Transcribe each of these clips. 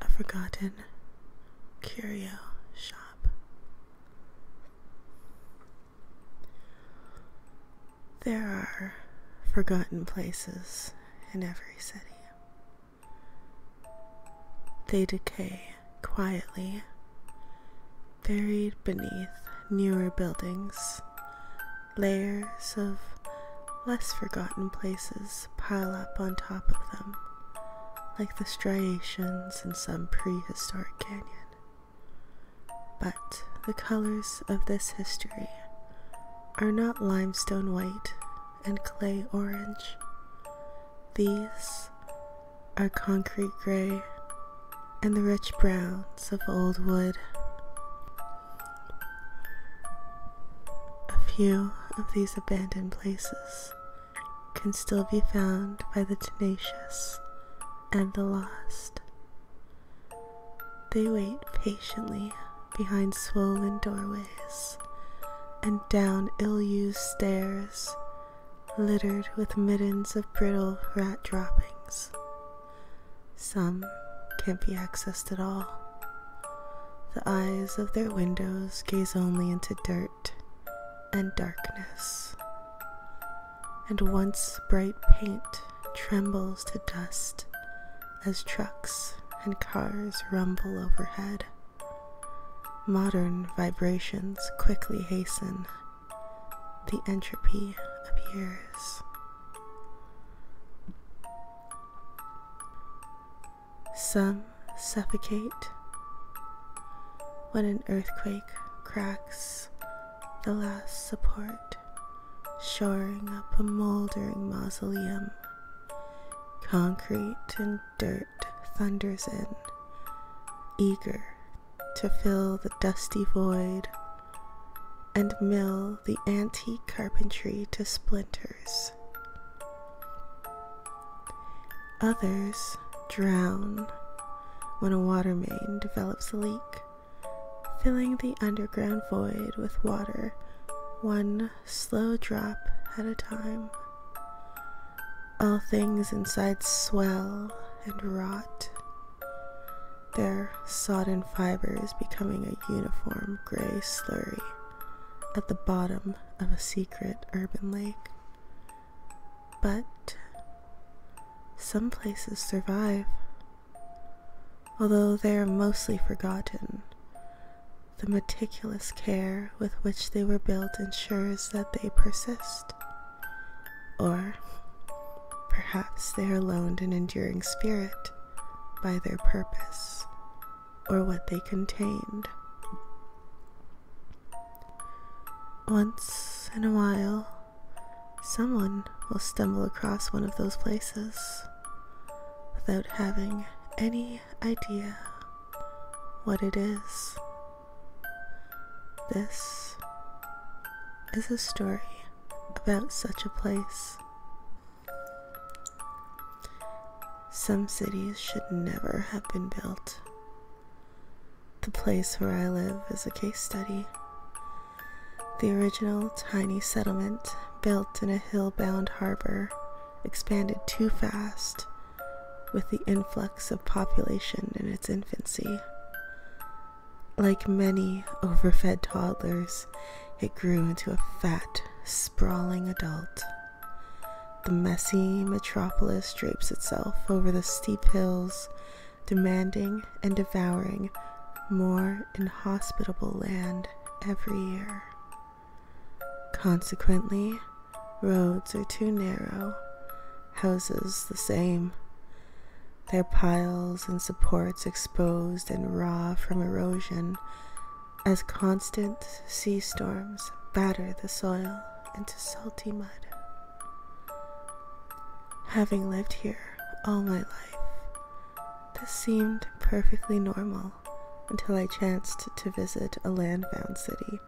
A forgotten curio shop. There are forgotten places in every city. They decay quietly, buried beneath newer buildings. Layers of less forgotten places pile up on top of them, like the striations in some prehistoric canyon. But the colors of this history are not limestone white and clay orange. These are concrete gray and the rich browns of old wood. A few of these abandoned places can still be found by the tenacious and the lost. They wait patiently behind swollen doorways and down ill used stairs littered with middens of brittle rat droppings. Some can't be accessed at all. The eyes of their windows gaze only into dirt and darkness. And once bright paint trembles to dust as trucks and cars rumble overhead. Modern vibrations quickly hasten. The entropy appears. Some suffocate. When an earthquake cracks the last support shoring up a moldering mausoleum. Concrete and dirt thunders in, eager to fill the dusty void and mill the antique carpentry to splinters. Others drown when a water main develops a leak filling the underground void with water, one slow drop at a time. All things inside swell and rot, their sodden fibers becoming a uniform gray slurry at the bottom of a secret urban lake. But some places survive. Although they are mostly forgotten, the meticulous care with which they were built ensures that they persist. Or perhaps they are loaned an enduring spirit by their purpose or what they contained. Once in a while, someone will stumble across one of those places without having any idea what it is. This is a story about such a place. Some cities should never have been built. The place where I live is a case study. The original tiny settlement built in a hill-bound harbor, expanded too fast with the influx of population in its infancy. Like many overfed toddlers, it grew into a fat, sprawling adult. The messy metropolis drapes itself over the steep hills, demanding and devouring more inhospitable land every year. Consequently, roads are too narrow, houses the same, their piles and supports exposed and raw from erosion as constant sea storms batter the soil into salty mud. Having lived here all my life, this seemed perfectly normal until I chanced to visit a land-bound city,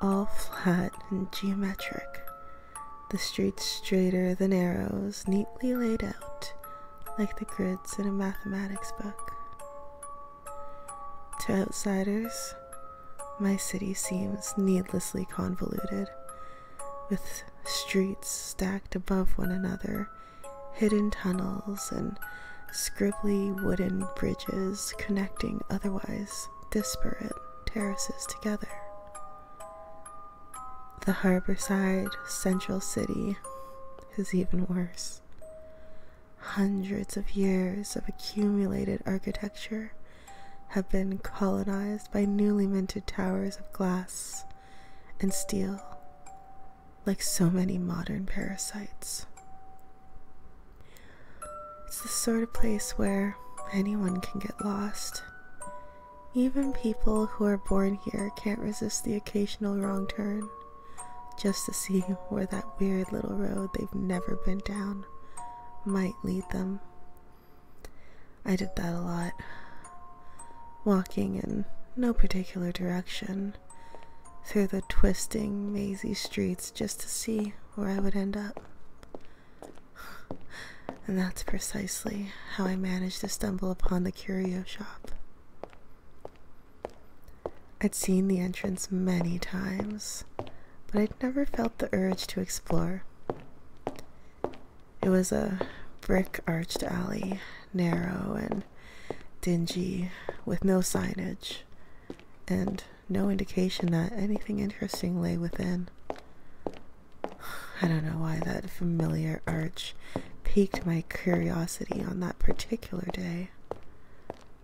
all flat and geometric, the streets straighter than arrows, neatly laid out like the grids in a mathematics book. To outsiders, my city seems needlessly convoluted, with streets stacked above one another hidden tunnels and scribbly wooden bridges connecting otherwise disparate terraces together. The harborside central city is even worse. Hundreds of years of accumulated architecture have been colonized by newly minted towers of glass and steel like so many modern parasites. It's the sort of place where anyone can get lost. Even people who are born here can't resist the occasional wrong turn just to see where that weird little road they've never been down might lead them. I did that a lot walking in no particular direction through the twisting, mazy streets just to see where I would end up. And that's precisely how I managed to stumble upon the curio shop. I'd seen the entrance many times, but I'd never felt the urge to explore. It was a brick arched alley, narrow and dingy with no signage and no indication that anything interesting lay within. I don't know why that familiar arch piqued my curiosity on that particular day,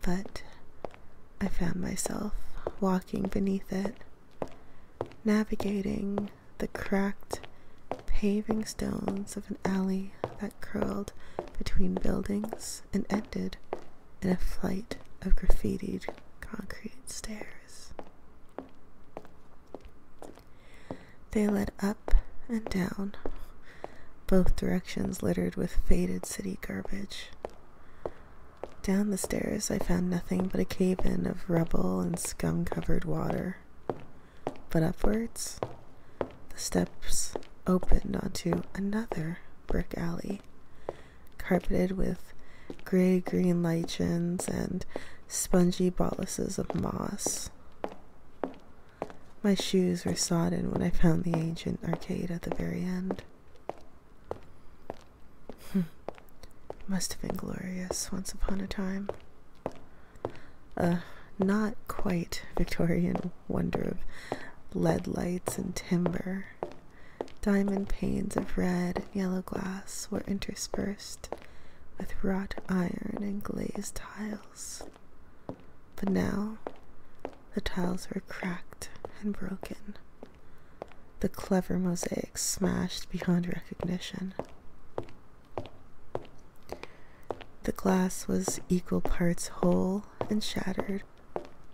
but I found myself walking beneath it, navigating the cracked paving stones of an alley that curled between buildings and ended in a flight of graffitied concrete stairs. They led up and down, both directions littered with faded city garbage. Down the stairs, I found nothing but a cave in of rubble and scum covered water but upwards. The steps opened onto another brick alley, carpeted with gray green lichens and spongy boluses of moss. My shoes were sodden when I found the ancient arcade at the very end. Hmm. Must have been glorious once upon a time. A uh, not quite Victorian wonder of lead lights and timber. Diamond panes of red and yellow glass were interspersed with wrought iron and glazed tiles. But now the tiles were cracked and broken, the clever mosaic smashed beyond recognition. The glass was equal parts whole and shattered,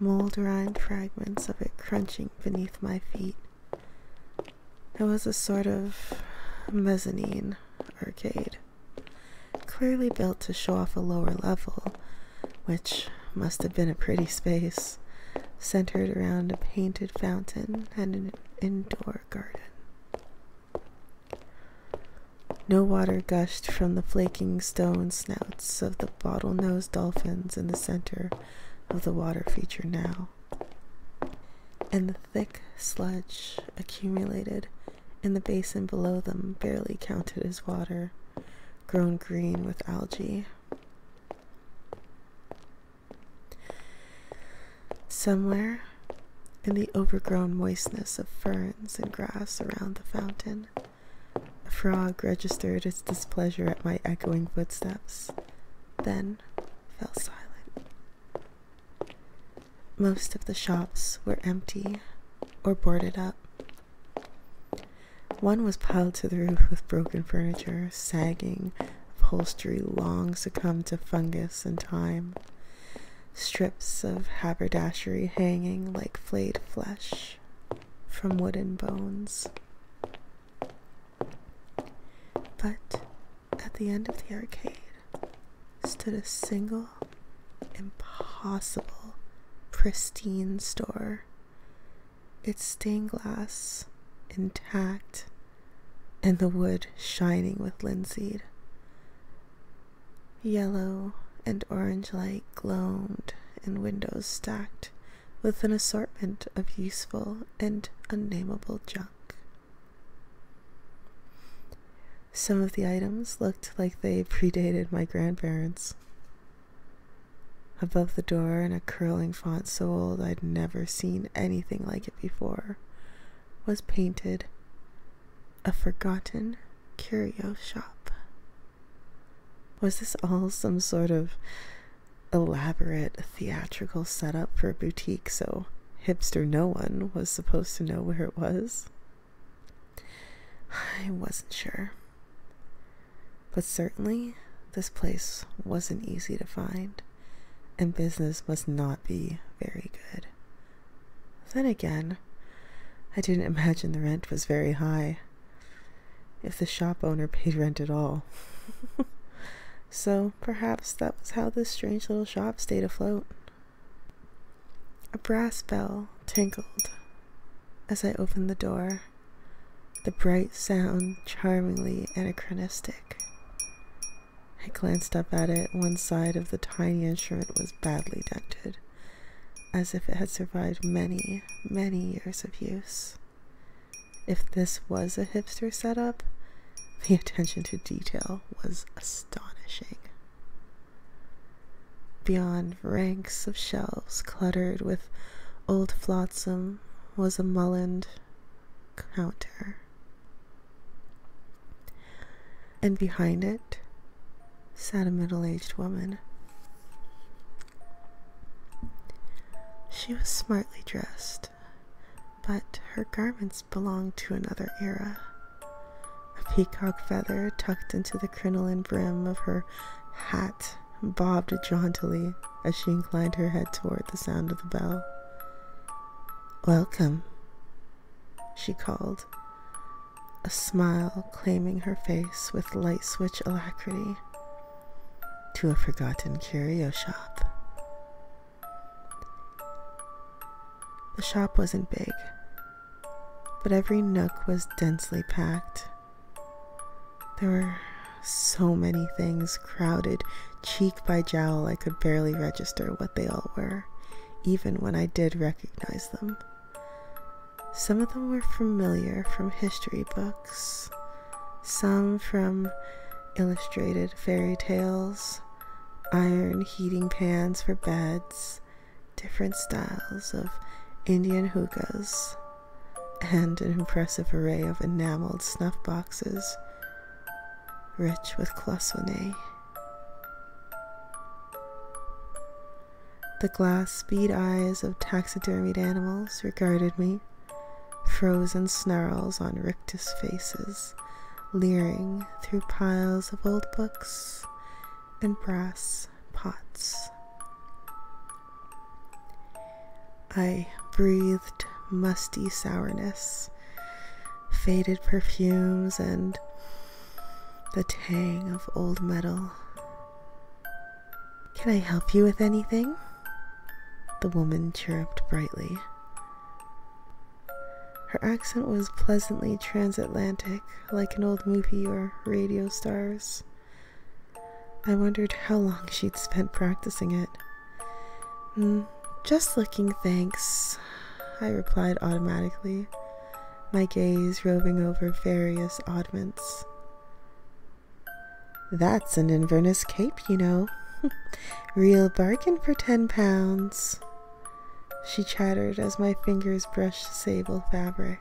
mold rind fragments of it crunching beneath my feet. It was a sort of mezzanine arcade, clearly built to show off a lower level, which must have been a pretty space, centered around a painted fountain and an indoor garden. No water gushed from the flaking stone snouts of the bottle-nosed dolphins in the center of the water feature now. And the thick sludge accumulated in the basin below them barely counted as water, grown green with algae. Somewhere in the overgrown moistness of ferns and grass around the fountain, a frog registered its displeasure at my echoing footsteps, then fell silent. Most of the shops were empty or boarded up. One was piled to the roof with broken furniture, sagging upholstery long succumbed to fungus and time strips of haberdashery hanging like flayed flesh from wooden bones. But at the end of the arcade stood a single, impossible, pristine store, its stained glass intact and the wood shining with linseed. Yellow and orange light glowed in windows stacked with an assortment of useful and unnameable junk. Some of the items looked like they predated my grandparents. Above the door, in a curling font so old I'd never seen anything like it before, was painted a forgotten curio shop. Was this all some sort of elaborate theatrical set up for a boutique so hipster no one was supposed to know where it was? I wasn't sure. But certainly, this place wasn't easy to find and business must not be very good. Then again, I didn't imagine the rent was very high, if the shop owner paid rent at all. so perhaps that was how this strange little shop stayed afloat. A brass bell tinkled as I opened the door, the bright sound charmingly anachronistic. I glanced up at it. One side of the tiny instrument was badly dented, as if it had survived many, many years of use. If this was a hipster setup, the attention to detail was astonishing. Beyond ranks of shelves cluttered with old flotsam was a mullined counter and behind it sat a middle aged woman. She was smartly dressed, but her garments belonged to another era. A peacock feather tucked into the crinoline brim of her hat bobbed jauntily as she inclined her head toward the sound of the bell. Welcome, she called, a smile claiming her face with light switch alacrity, to a forgotten curio shop. The shop wasn't big, but every nook was densely packed. There were so many things crowded cheek by jowl, I could barely register what they all were, even when I did recognize them. Some of them were familiar from history books, some from illustrated fairy tales, iron heating pans for beds, different styles of Indian hookahs, and an impressive array of enameled snuff boxes rich with cloisonne. The glass bead eyes of taxidermied animals regarded me, frozen snarls on rictus faces, leering through piles of old books and brass pots. I breathed musty sourness faded perfumes, and the tang of old metal. Can I help you with anything? The woman chirruped brightly. Her accent was pleasantly transatlantic, like an old movie or radio star's. I wondered how long she'd spent practicing it. Mm, just looking, thanks, I replied automatically, my gaze roving over various oddments. That's an Inverness cape, you know. Real bargain for ten pounds. She chattered as my fingers brushed sable fabric.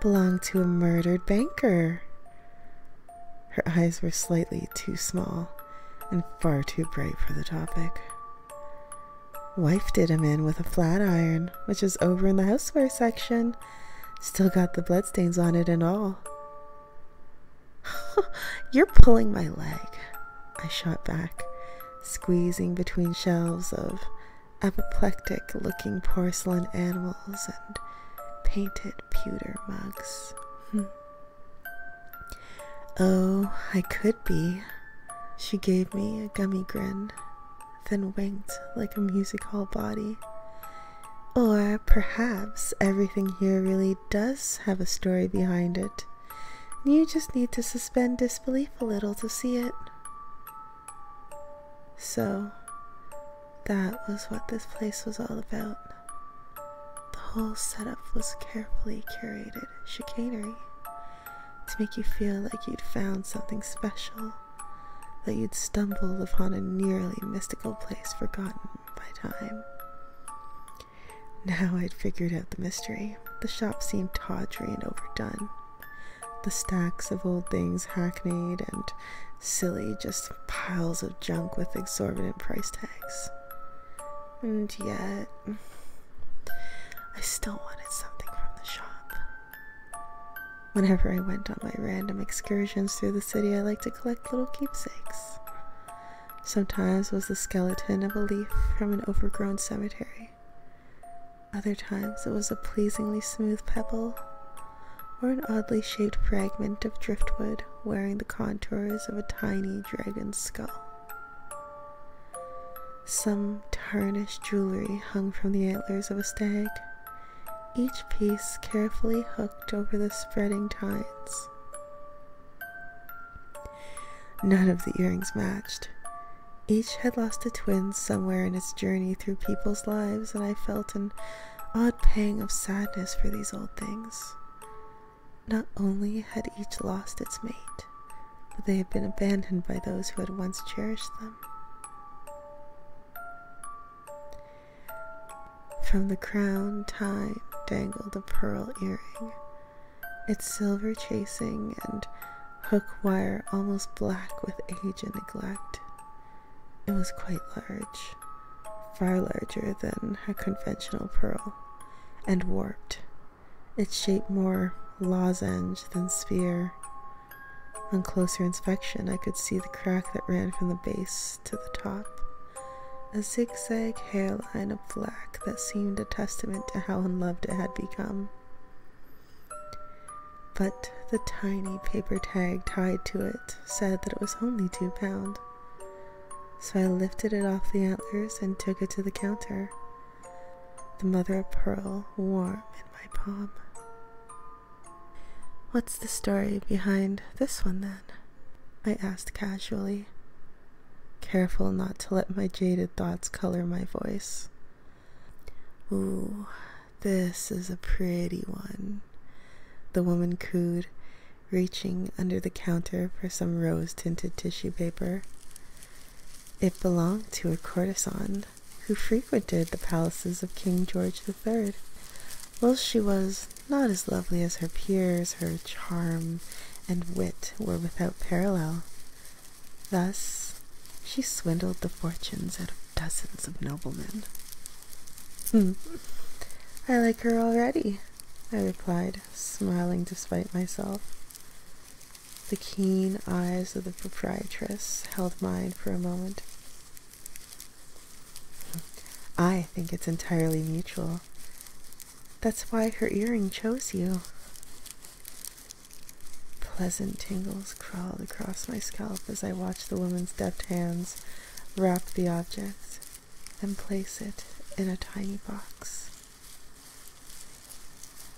Belonged to a murdered banker. Her eyes were slightly too small and far too bright for the topic. Wife did him in with a flat iron, which is over in the houseware section. Still got the bloodstains on it and all. You're pulling my leg, I shot back, squeezing between shelves of apoplectic looking porcelain animals and painted pewter mugs. Hmm. Oh, I could be. She gave me a gummy grin, then winked like a music hall body. Or perhaps everything here really does have a story behind it. You just need to suspend disbelief a little to see it. So, that was what this place was all about. The whole setup was carefully curated chicanery to make you feel like you'd found something special, that you'd stumbled upon a nearly mystical place forgotten by time. Now I'd figured out the mystery. The shop seemed tawdry and overdone. The stacks of old things hackneyed and silly, just piles of junk with exorbitant price tags. And yet, I still wanted something from the shop. Whenever I went on my random excursions through the city, I liked to collect little keepsakes. Sometimes it was the skeleton of a leaf from an overgrown cemetery. Other times it was a pleasingly smooth pebble or an oddly shaped fragment of driftwood wearing the contours of a tiny dragon's skull. Some tarnished jewelry hung from the antlers of a stag, each piece carefully hooked over the spreading tines. None of the earrings matched. Each had lost a twin somewhere in its journey through people's lives, and I felt an odd pang of sadness for these old things. Not only had each lost its mate, but they had been abandoned by those who had once cherished them. From the crown tie dangled a pearl earring, its silver chasing and hook wire almost black with age and neglect. It was quite large, far larger than a conventional pearl and warped, its shape more lozenge than sphere. On closer inspection, I could see the crack that ran from the base to the top, a zigzag hairline of black that seemed a testament to how unloved it had become. But the tiny paper tag tied to it said that it was only two pound. So I lifted it off the antlers and took it to the counter, the mother of pearl warm in my palm. What's the story behind this one then? I asked casually, careful not to let my jaded thoughts color my voice. Ooh, this is a pretty one, the woman cooed reaching under the counter for some rose tinted tissue paper. It belonged to a courtesan who frequented the palaces of King George the Third. While she was not as lovely as her peers, her charm and wit were without parallel. Thus, she swindled the fortunes out of dozens of noblemen. Hmm. I like her already, I replied, smiling despite myself. The keen eyes of the proprietress held mine for a moment. I think it's entirely mutual. That's why her earring chose you. Pleasant tingles crawled across my scalp as I watched the woman's deft hands wrap the objects and place it in a tiny box.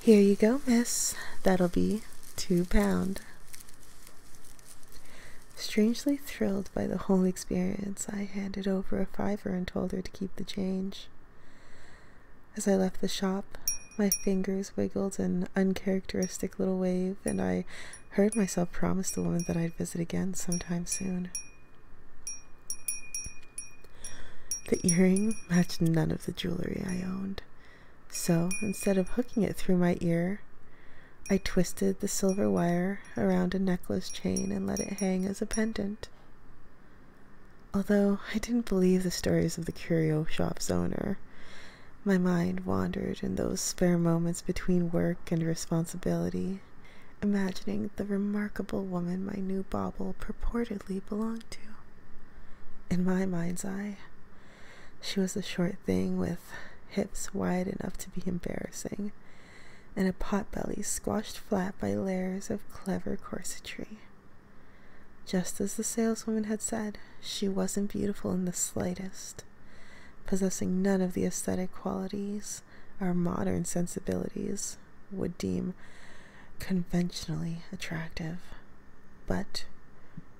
Here you go, miss. That'll be two pound. Strangely thrilled by the whole experience, I handed over a fiver and told her to keep the change. As I left the shop, my fingers wiggled an uncharacteristic little wave, and I heard myself promise the woman that I'd visit again sometime soon. The earring matched none of the jewelry I owned, so instead of hooking it through my ear, I twisted the silver wire around a necklace chain and let it hang as a pendant. Although I didn't believe the stories of the curio shop's owner, my mind wandered in those spare moments between work and responsibility imagining the remarkable woman my new bauble purportedly belonged to. In my mind's eye, she was a short thing with hips wide enough to be embarrassing, and a pot-belly squashed flat by layers of clever corsetry. Just as the saleswoman had said, she wasn't beautiful in the slightest, possessing none of the aesthetic qualities our modern sensibilities would deem conventionally attractive. But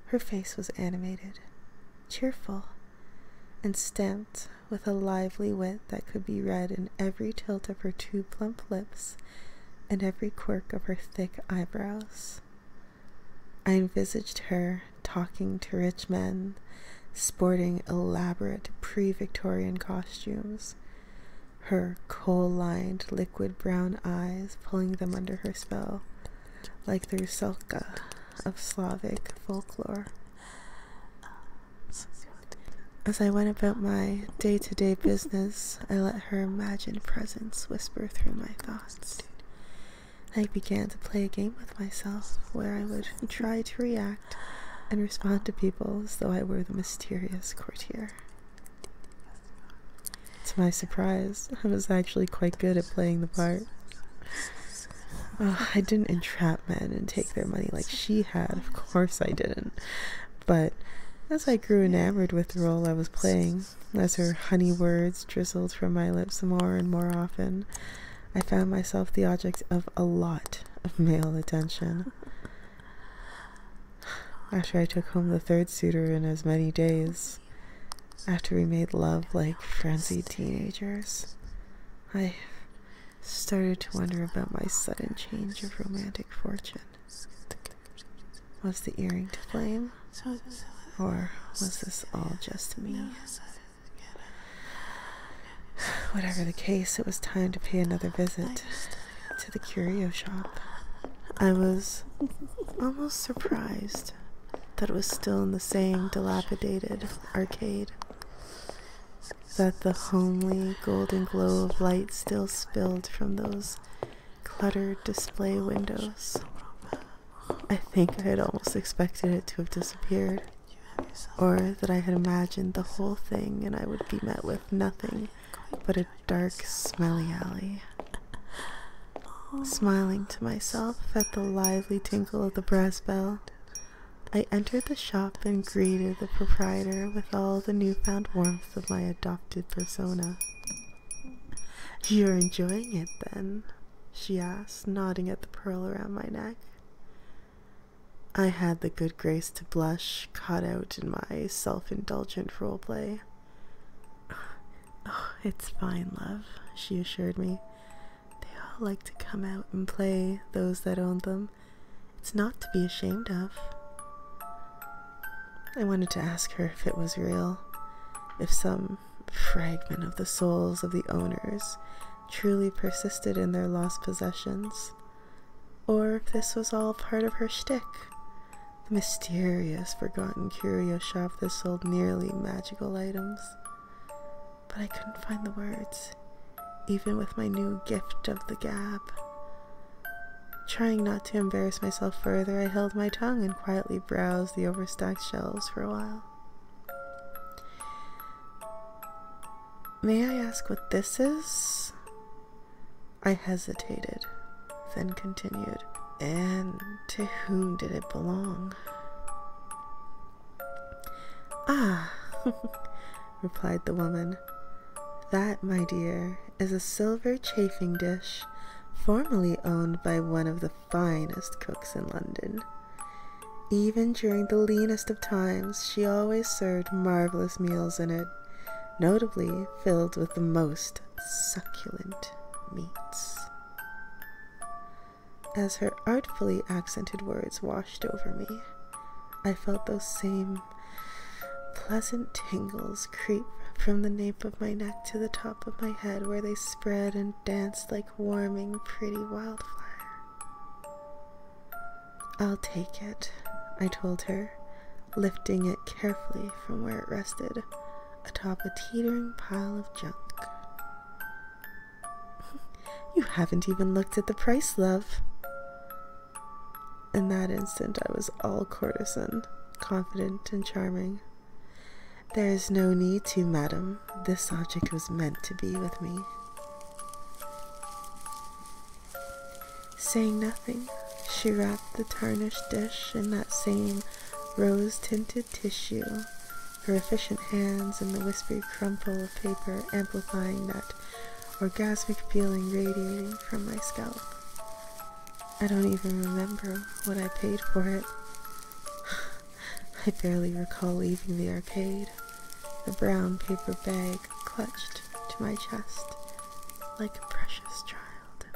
her face was animated, cheerful, and stamped with a lively wit that could be read in every tilt of her two plump lips and every quirk of her thick eyebrows. I envisaged her talking to rich men, sporting elaborate pre Victorian costumes, her coal lined, liquid brown eyes pulling them under her spell, like the Rusalka of Slavic folklore. As I went about my day to day business, I let her imagined presence whisper through my thoughts. I began to play a game with myself where I would try to react and respond to people as though I were the mysterious courtier. To my surprise, I was actually quite good at playing the part. I didn't entrap men and take their money like she had, of course I didn't. But as I grew enamored with the role I was playing, as her honey words drizzled from my lips more and more often, I found myself the object of a lot of male attention. After I took home the third suitor in as many days, after we made love like frenzied teenagers, I started to wonder about my sudden change of romantic fortune. Was the earring to blame? Or was this all just me? Whatever the case, it was time to pay another visit to the curio shop. I was almost surprised that it was still in the same oh, dilapidated arcade, that the homely golden glow of light still spilled from those cluttered display oh, windows. I think I had almost expected it to have disappeared or that I had imagined the whole thing and I would be met with nothing but a dark, smelly alley. Smiling to myself at the lively tinkle of the brass bell, I entered the shop and greeted the proprietor with all the newfound warmth of my adopted persona. You're enjoying it, then? she asked, nodding at the pearl around my neck. I had the good grace to blush, caught out in my self indulgent role play. Oh, it's fine, love, she assured me. They all like to come out and play, those that own them. It's not to be ashamed of. I wanted to ask her if it was real, if some fragment of the souls of the owners truly persisted in their lost possessions, or if this was all part of her shtick. The mysterious, forgotten curio shop that sold nearly magical items. But I couldn't find the words, even with my new gift of the gab. Trying not to embarrass myself further, I held my tongue and quietly browsed the overstacked shelves for a while. May I ask what this is? I hesitated, then continued. And to whom did it belong? Ah, replied the woman, that, my dear, is a silver chafing dish formerly owned by one of the finest cooks in London. Even during the leanest of times, she always served marvelous meals in it, notably filled with the most succulent meats. As her artfully accented words washed over me, I felt those same pleasant tingles creep from the nape of my neck to the top of my head, where they spread and danced like warming, pretty wildfire. I'll take it, I told her, lifting it carefully from where it rested atop a teetering pile of junk. you haven't even looked at the price, love. In that instant, I was all courtesan, confident, and charming. There is no need to, madam. This object was meant to be with me. Saying nothing, she wrapped the tarnished dish in that same rose tinted tissue, her efficient hands and the wispy crumple of paper amplifying that orgasmic feeling radiating from my scalp. I don't even remember what I paid for it. I barely recall leaving the arcade the brown paper bag clutched to my chest like a precious child.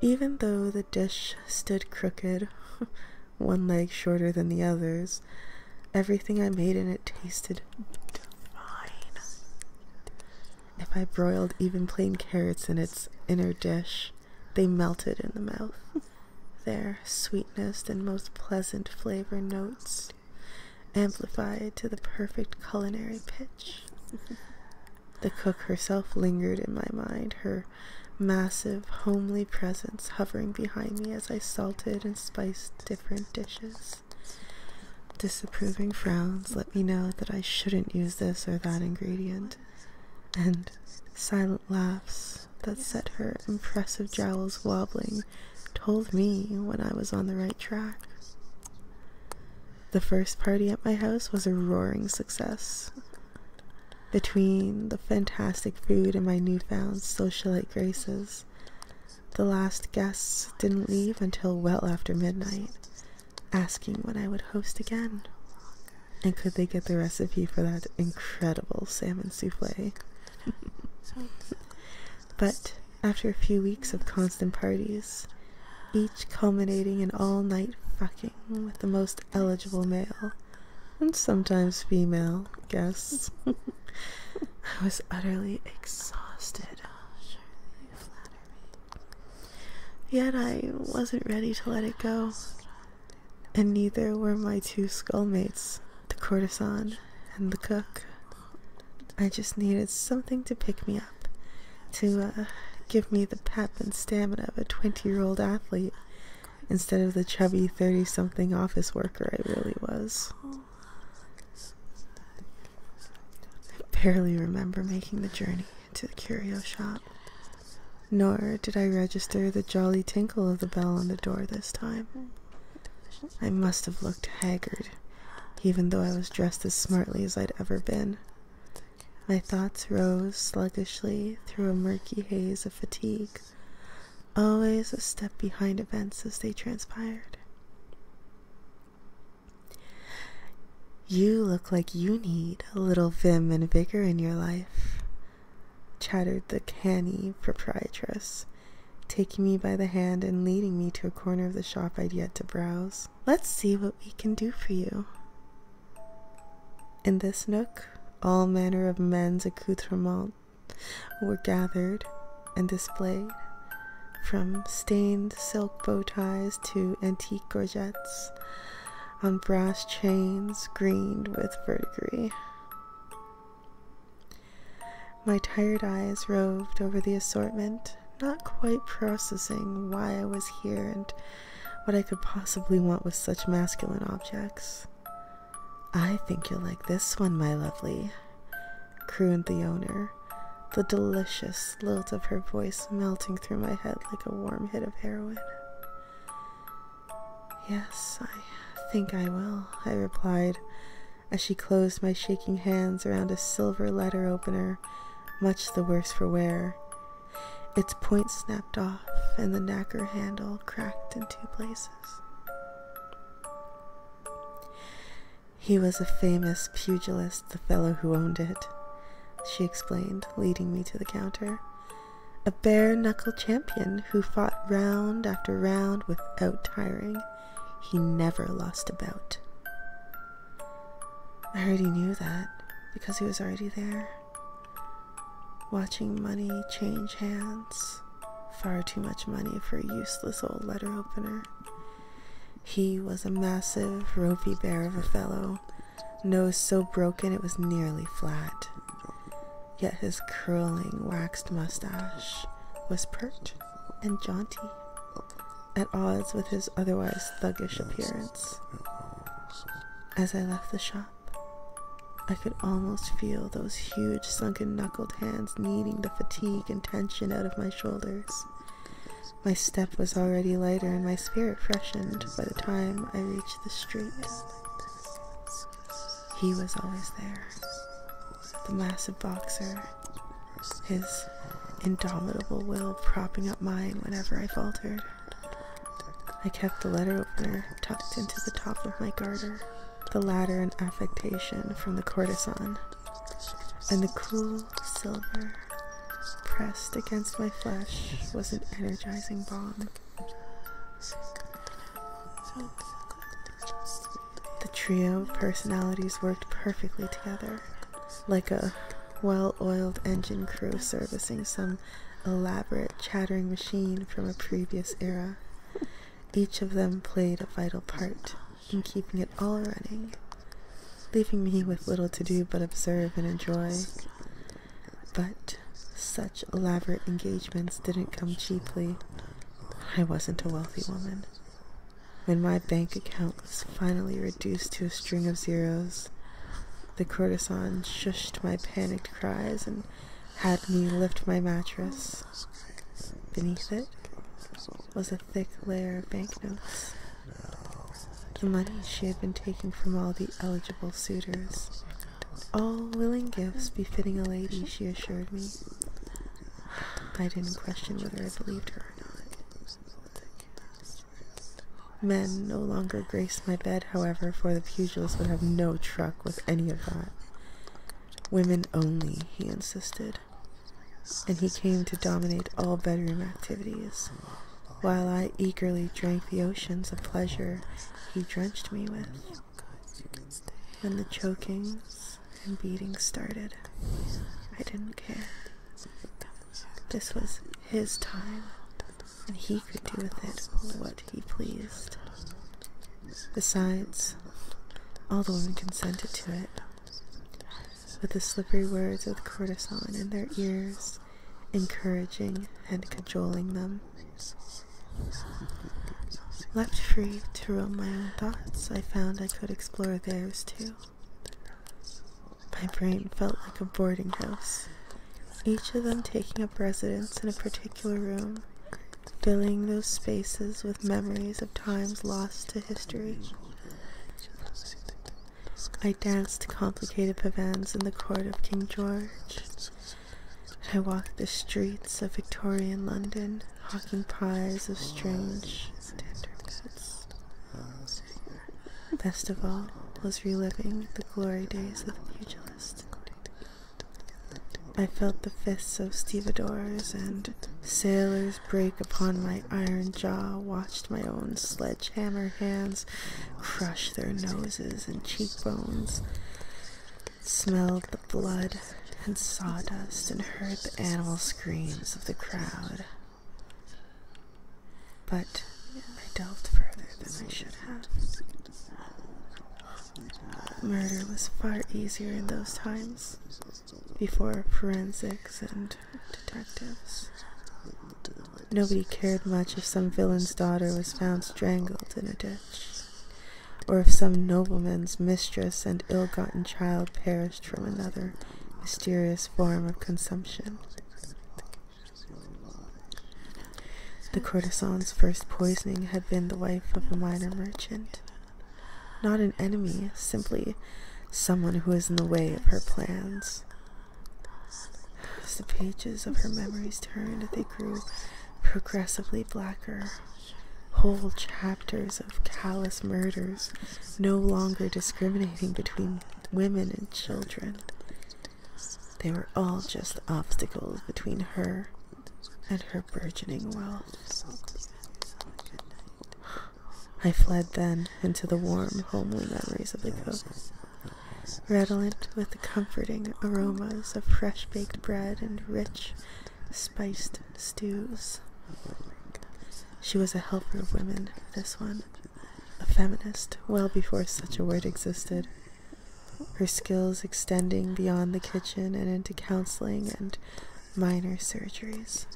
Even though the dish stood crooked, one leg shorter than the others, everything I made in it tasted divine. If I broiled even plain carrots in its inner dish, they melted in the mouth. their sweetness and most pleasant flavor notes amplified to the perfect culinary pitch. the cook herself lingered in my mind, her massive, homely presence hovering behind me as I salted and spiced different dishes. Disapproving frowns let me know that I shouldn't use this or that ingredient, and silent laughs that set her impressive jowls wobbling told me when I was on the right track. The first party at my house was a roaring success. Between the fantastic food and my newfound socialite graces, the last guests didn't leave until well after midnight, asking when I would host again. And could they get the recipe for that incredible salmon souffle But after a few weeks of constant parties, each culminating in all night fucking with the most eligible male and sometimes female guests, I was utterly exhausted. Oh, Yet I wasn't ready to let it go and neither were my two skullmates, the courtesan and the cook. I just needed something to pick me up, to uh, give me the pep and stamina of a 20 year old athlete instead of the chubby 30 something office worker I really was. I barely remember making the journey to the curio shop, nor did I register the Jolly Ting of the bell on the door this time. I must have looked haggard, even though I was dressed as smartly as I'd ever been. My thoughts rose sluggishly through a murky haze of fatigue, always a step behind events as they transpired. You look like you need a little vim and vigor in your life, chattered the canny proprietress, taking me by the hand and leading me to a corner of the shop I'd yet to browse. Let's see what we can do for you. In this nook, all manner of men's accoutrements were gathered and displayed, from stained silk bow ties to antique gorgets on brass chains greened with verdigris. My tired eyes roved over the assortment, not quite processing why I was here and what I could possibly want with such masculine objects. I think you'll like this one, my lovely, crooned the owner, the delicious lilt of her voice melting through my head like a warm hit of heroin. Yes, I think I will, I replied as she closed my shaking hands around a silver letter opener, much the worse for wear. Its point snapped off, and the knacker handle cracked in two places. He was a famous pugilist, the fellow who owned it, she explained, leading me to the counter a bare knuckle champion who fought round after round without tiring. He never lost a bout. I already knew that because he was already there, watching money change hands. Far too much money for a useless old letter opener. He was a massive, ropey bear of a fellow, nose so broken it was nearly flat yet his curling waxed mustache was pert and jaunty, at odds with his otherwise thuggish appearance. As I left the shop, I could almost feel those huge sunken knuckled hands kneading the fatigue and tension out of my shoulders. My step was already lighter and my spirit freshened by the time I reached the street. He was always there. The massive boxer, his indomitable will propping up mine whenever I faltered. I kept the letter opener tucked into the top of my garter, the latter an affectation from the courtesan, and the cool silver pressed against my flesh was an energizing balm. The trio of personalities worked perfectly together, like a well oiled engine crew servicing some elaborate chattering machine from a previous era. Each of them played a vital part in keeping it all running, leaving me with little to do but observe and enjoy. But such elaborate engagements didn't come cheaply. I wasn't a wealthy woman. When my bank account was finally reduced to a string of zeros, the courtesan shushed my panicked cries and had me lift my mattress. Beneath it was a thick layer of banknotes. The money she had been taking from all the eligible suitors all willing gifts befitting a lady, she assured me. I didn't question whether I believed her or not. Men no longer graced my bed, however, for the pugilist would have no truck with any of that. Women only, he insisted. And he came to dominate all bedroom activities. While I eagerly drank the oceans of pleasure he drenched me with. When the chokings and beatings started, I didn't care. This was his time, and he could do with it what he pleased. Besides, all the women consented to it. With the slippery words of the courtesan in their ears, encouraging and cajoling them left free to roam my own thoughts, I found I could explore theirs too. My brain felt like a boarding house, each of them taking up residence in a particular room, filling those spaces with memories of times lost to history. I danced complicated pavans in the court of King George, I walked the streets of Victorian London, hawking pies of strange tenderments. Best of all was reliving the glory days of the pugilist. I felt the fists of stevedores and sailors break upon my iron jaw, watched my own sledgehammer hands crush their noses and cheekbones smelled the blood and sawdust and heard the animal screams of the crowd. But I delved further than I should have. Murder was far easier in those times, before forensics and detectives. Nobody cared much if some villain's daughter was found strangled in a ditch or if some nobleman's mistress and ill gotten child perished from another mysterious form of consumption. The courtesan's first poisoning had been the wife of a minor merchant. Not an enemy, simply someone who was in the way of her plans. As the pages of her memories turned, they grew progressively blacker. Whole chapters of callous murders, no longer discriminating between women and children. They were all just obstacles between her and her burgeoning wealth. I fled then into the warm, homely memories of the coast, redolent with the comforting aromas of fresh baked bread and rich, spiced stews. She was a helper of women, this one, a feminist, well before such a word existed. Her skills extending beyond the kitchen and into counseling and minor surgeries.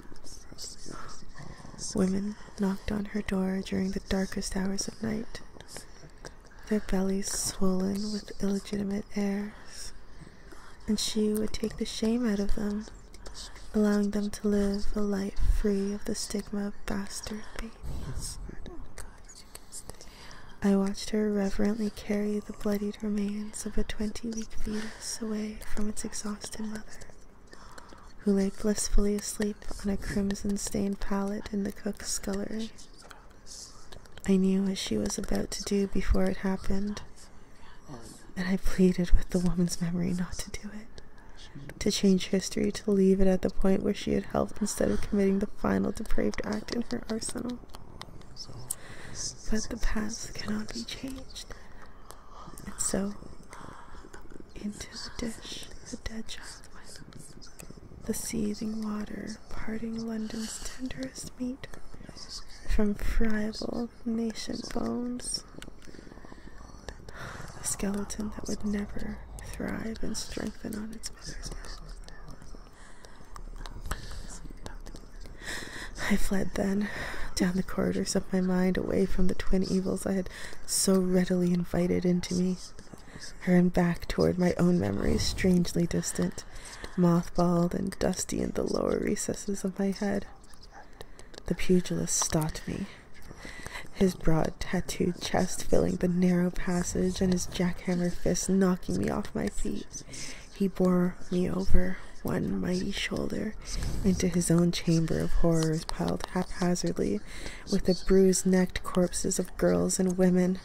Women knocked on her door during the darkest hours of night their bellies swollen with illegitimate heirs, and she would take the shame out of them, allowing them to live a life free of the stigma of bastard babies. I watched her reverently carry the bloodied remains of a 20 week fetus away from its exhausted mother, who lay blissfully asleep on a crimson stained pallet in the cook's scullery. I knew what she was about to do before it happened, and I pleaded with the woman's memory not to do it, to change history, to leave it at the point where she had helped instead of committing the final depraved act in her arsenal. But the past cannot be changed, and so into the dish the dead child went the seething water parting London's tenderest meat from friable nascent bones, a skeleton that would never thrive and strengthen on its mother's I fled then, down the corridors of my mind, away from the twin evils I had so readily invited into me her and back toward my own memories, strangely distant, mothballed and dusty in the lower recesses of my head. The pugilist stopped me, his broad tattooed chest filling the narrow passage and his jackhammer fists knocking me off my feet. He bore me over one mighty shoulder into his own chamber of horrors piled haphazardly with the bruised necked corpses of girls and women.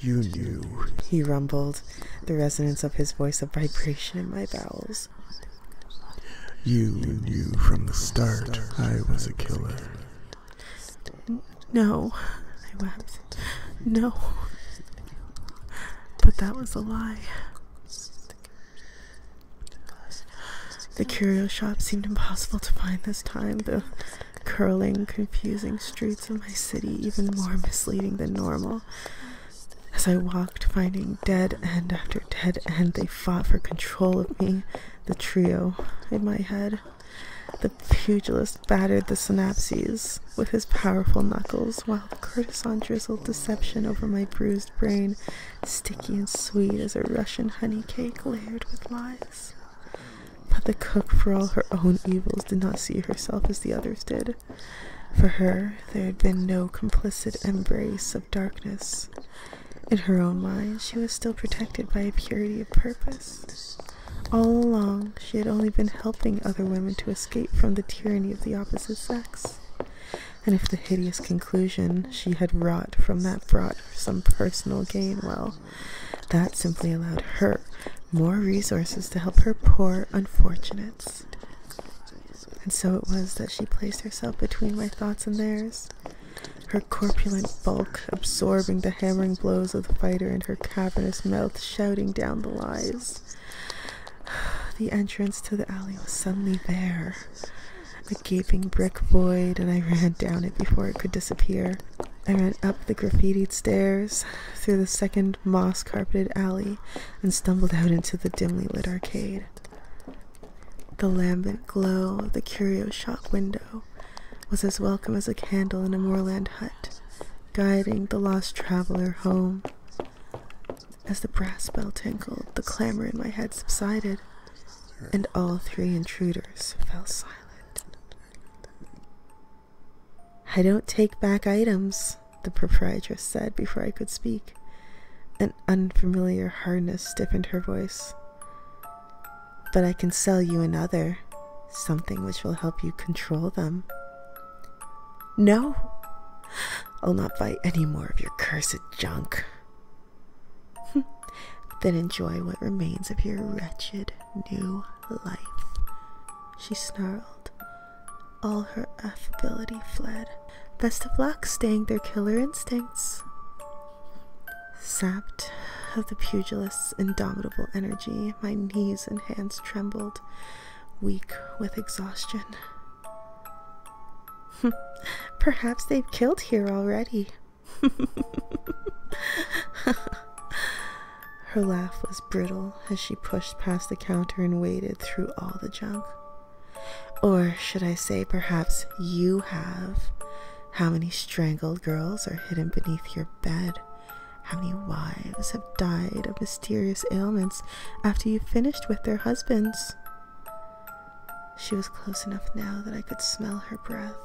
You knew, he rumbled, the resonance of his voice a vibration in my bowels. You knew from the start I was a killer. No, I wept. No. But that was a lie. The curio shop seemed impossible to find this time, though curling, confusing streets of my city even more misleading than normal. As I walked, finding dead end after dead end, they fought for control of me, the trio, in my head. The pugilist battered the synapses with his powerful knuckles, while the courtesan drizzled deception over my bruised brain, sticky and sweet as a Russian honey cake layered with lies. But the cook, for all her own evils, did not see herself as the others did. For her, there had been no complicit embrace of darkness. In her own mind, she was still protected by a purity of purpose. All along, she had only been helping other women to escape from the tyranny of the opposite sex. And if the hideous conclusion she had wrought from that brought some personal gain, well, that simply allowed her more resources to help her poor unfortunates. And so it was that she placed herself between my thoughts and theirs, her corpulent bulk absorbing the hammering blows of the fighter and her cavernous mouth shouting down the lies. The entrance to the alley was suddenly there, a gaping brick void, and I ran down it before it could disappear. I ran up the graffitied stairs, through the second moss carpeted alley, and stumbled out into the dimly lit arcade. The lambent glow of the curio shop window was as welcome as a candle in a moorland hut, guiding the lost traveler home. As the brass bell tinkled, the clamor in my head subsided, and all three intruders fell silent. I don't take back items, the proprietress said before I could speak. An unfamiliar hardness stiffened her voice. But I can sell you another, something which will help you control them. No, I'll not buy any more of your cursed junk. then enjoy what remains of your wretched new life. She snarled. All her affability fled. Best of luck staying their killer instincts. Sapped of the pugilist's indomitable energy, my knees and hands trembled, weak with exhaustion. Perhaps they've killed here already. Her laugh was brittle as she pushed past the counter and waded through all the junk. Or should I say, perhaps you have? How many strangled girls are hidden beneath your bed? How many wives have died of mysterious ailments after you finished with their husbands? She was close enough now that I could smell her breath,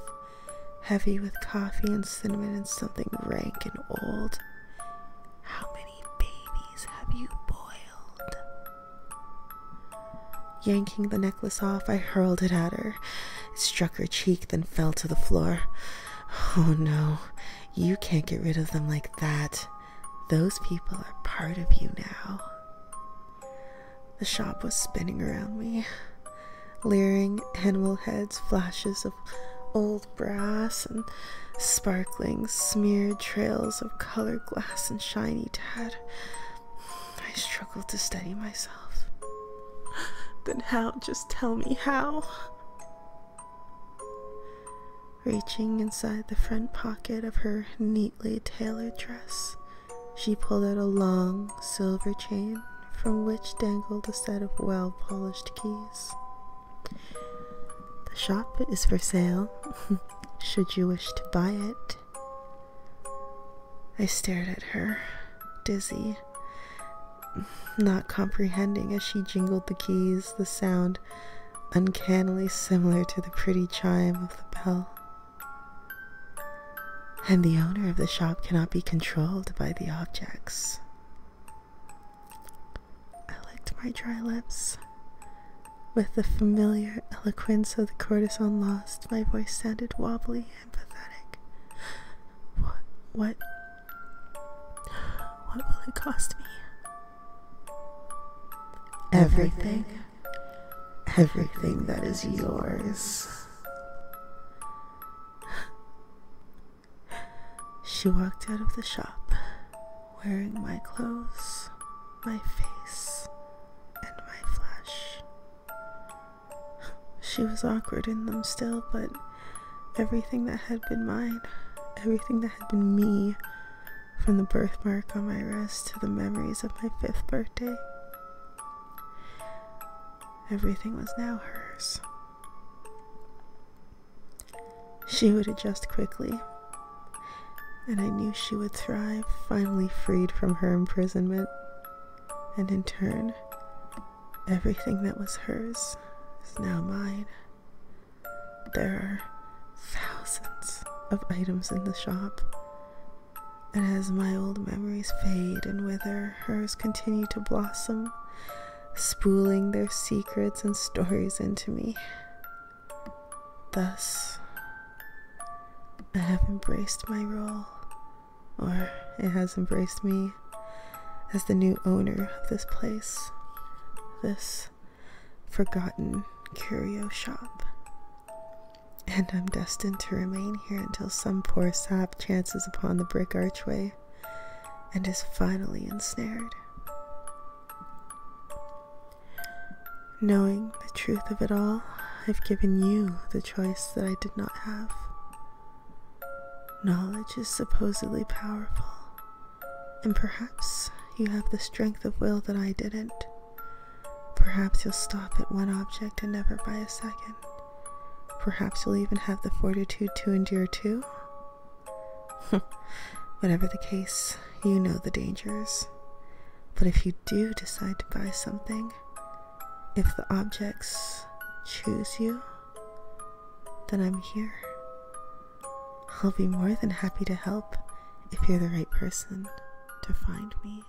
heavy with coffee and cinnamon and something rank and old. How many babies have you boiled? Yanking the necklace off, I hurled it at her. It struck her cheek, then fell to the floor. Oh no, you can't get rid of them like that. Those people are part of you now. The shop was spinning around me leering animal heads, flashes of old brass, and sparkling, smeared trails of colored glass and shiny tad. I struggled to steady myself. Then how? Just tell me how. Reaching inside the front pocket of her neatly tailored dress, she pulled out a long silver chain from which dangled a set of well polished keys. The shop is for sale, should you wish to buy it. I stared at her, dizzy, not comprehending as she jingled the keys, the sound uncannily similar to the pretty chime of the bell and the owner of the shop cannot be controlled by the objects. I licked my dry lips. With the familiar eloquence of the courtesan lost, my voice sounded wobbly and pathetic. What, what, what will it cost me? Everything, everything that is yours. she walked out of the shop wearing my clothes, my face, and my flesh. She was awkward in them still, but everything that had been mine, everything that had been me, from the birthmark on my wrist to the memories of my fifth birthday, everything was now hers. She would adjust quickly, and I knew she would thrive, finally freed from her imprisonment, and in turn, everything that was hers is now mine. There are thousands of items in the shop, and as my old memories fade and wither, hers continue to blossom, spooling their secrets and stories into me. Thus, I have embraced my role, or it has embraced me, as the new owner of this place, this forgotten curio shop. And I'm destined to remain here until some poor sap chances upon the brick archway and is finally ensnared. Knowing the truth of it all, I've given you the choice that I did not have. Knowledge is supposedly powerful, and perhaps you have the strength of will that I didn't. Perhaps you'll stop at one object and never buy a second. Perhaps you'll even have the fortitude to endure too? Whatever the case, you know the dangers. But if you do decide to buy something, if the objects choose you, then I'm here. I'll be more than happy to help if you're the right person to find me.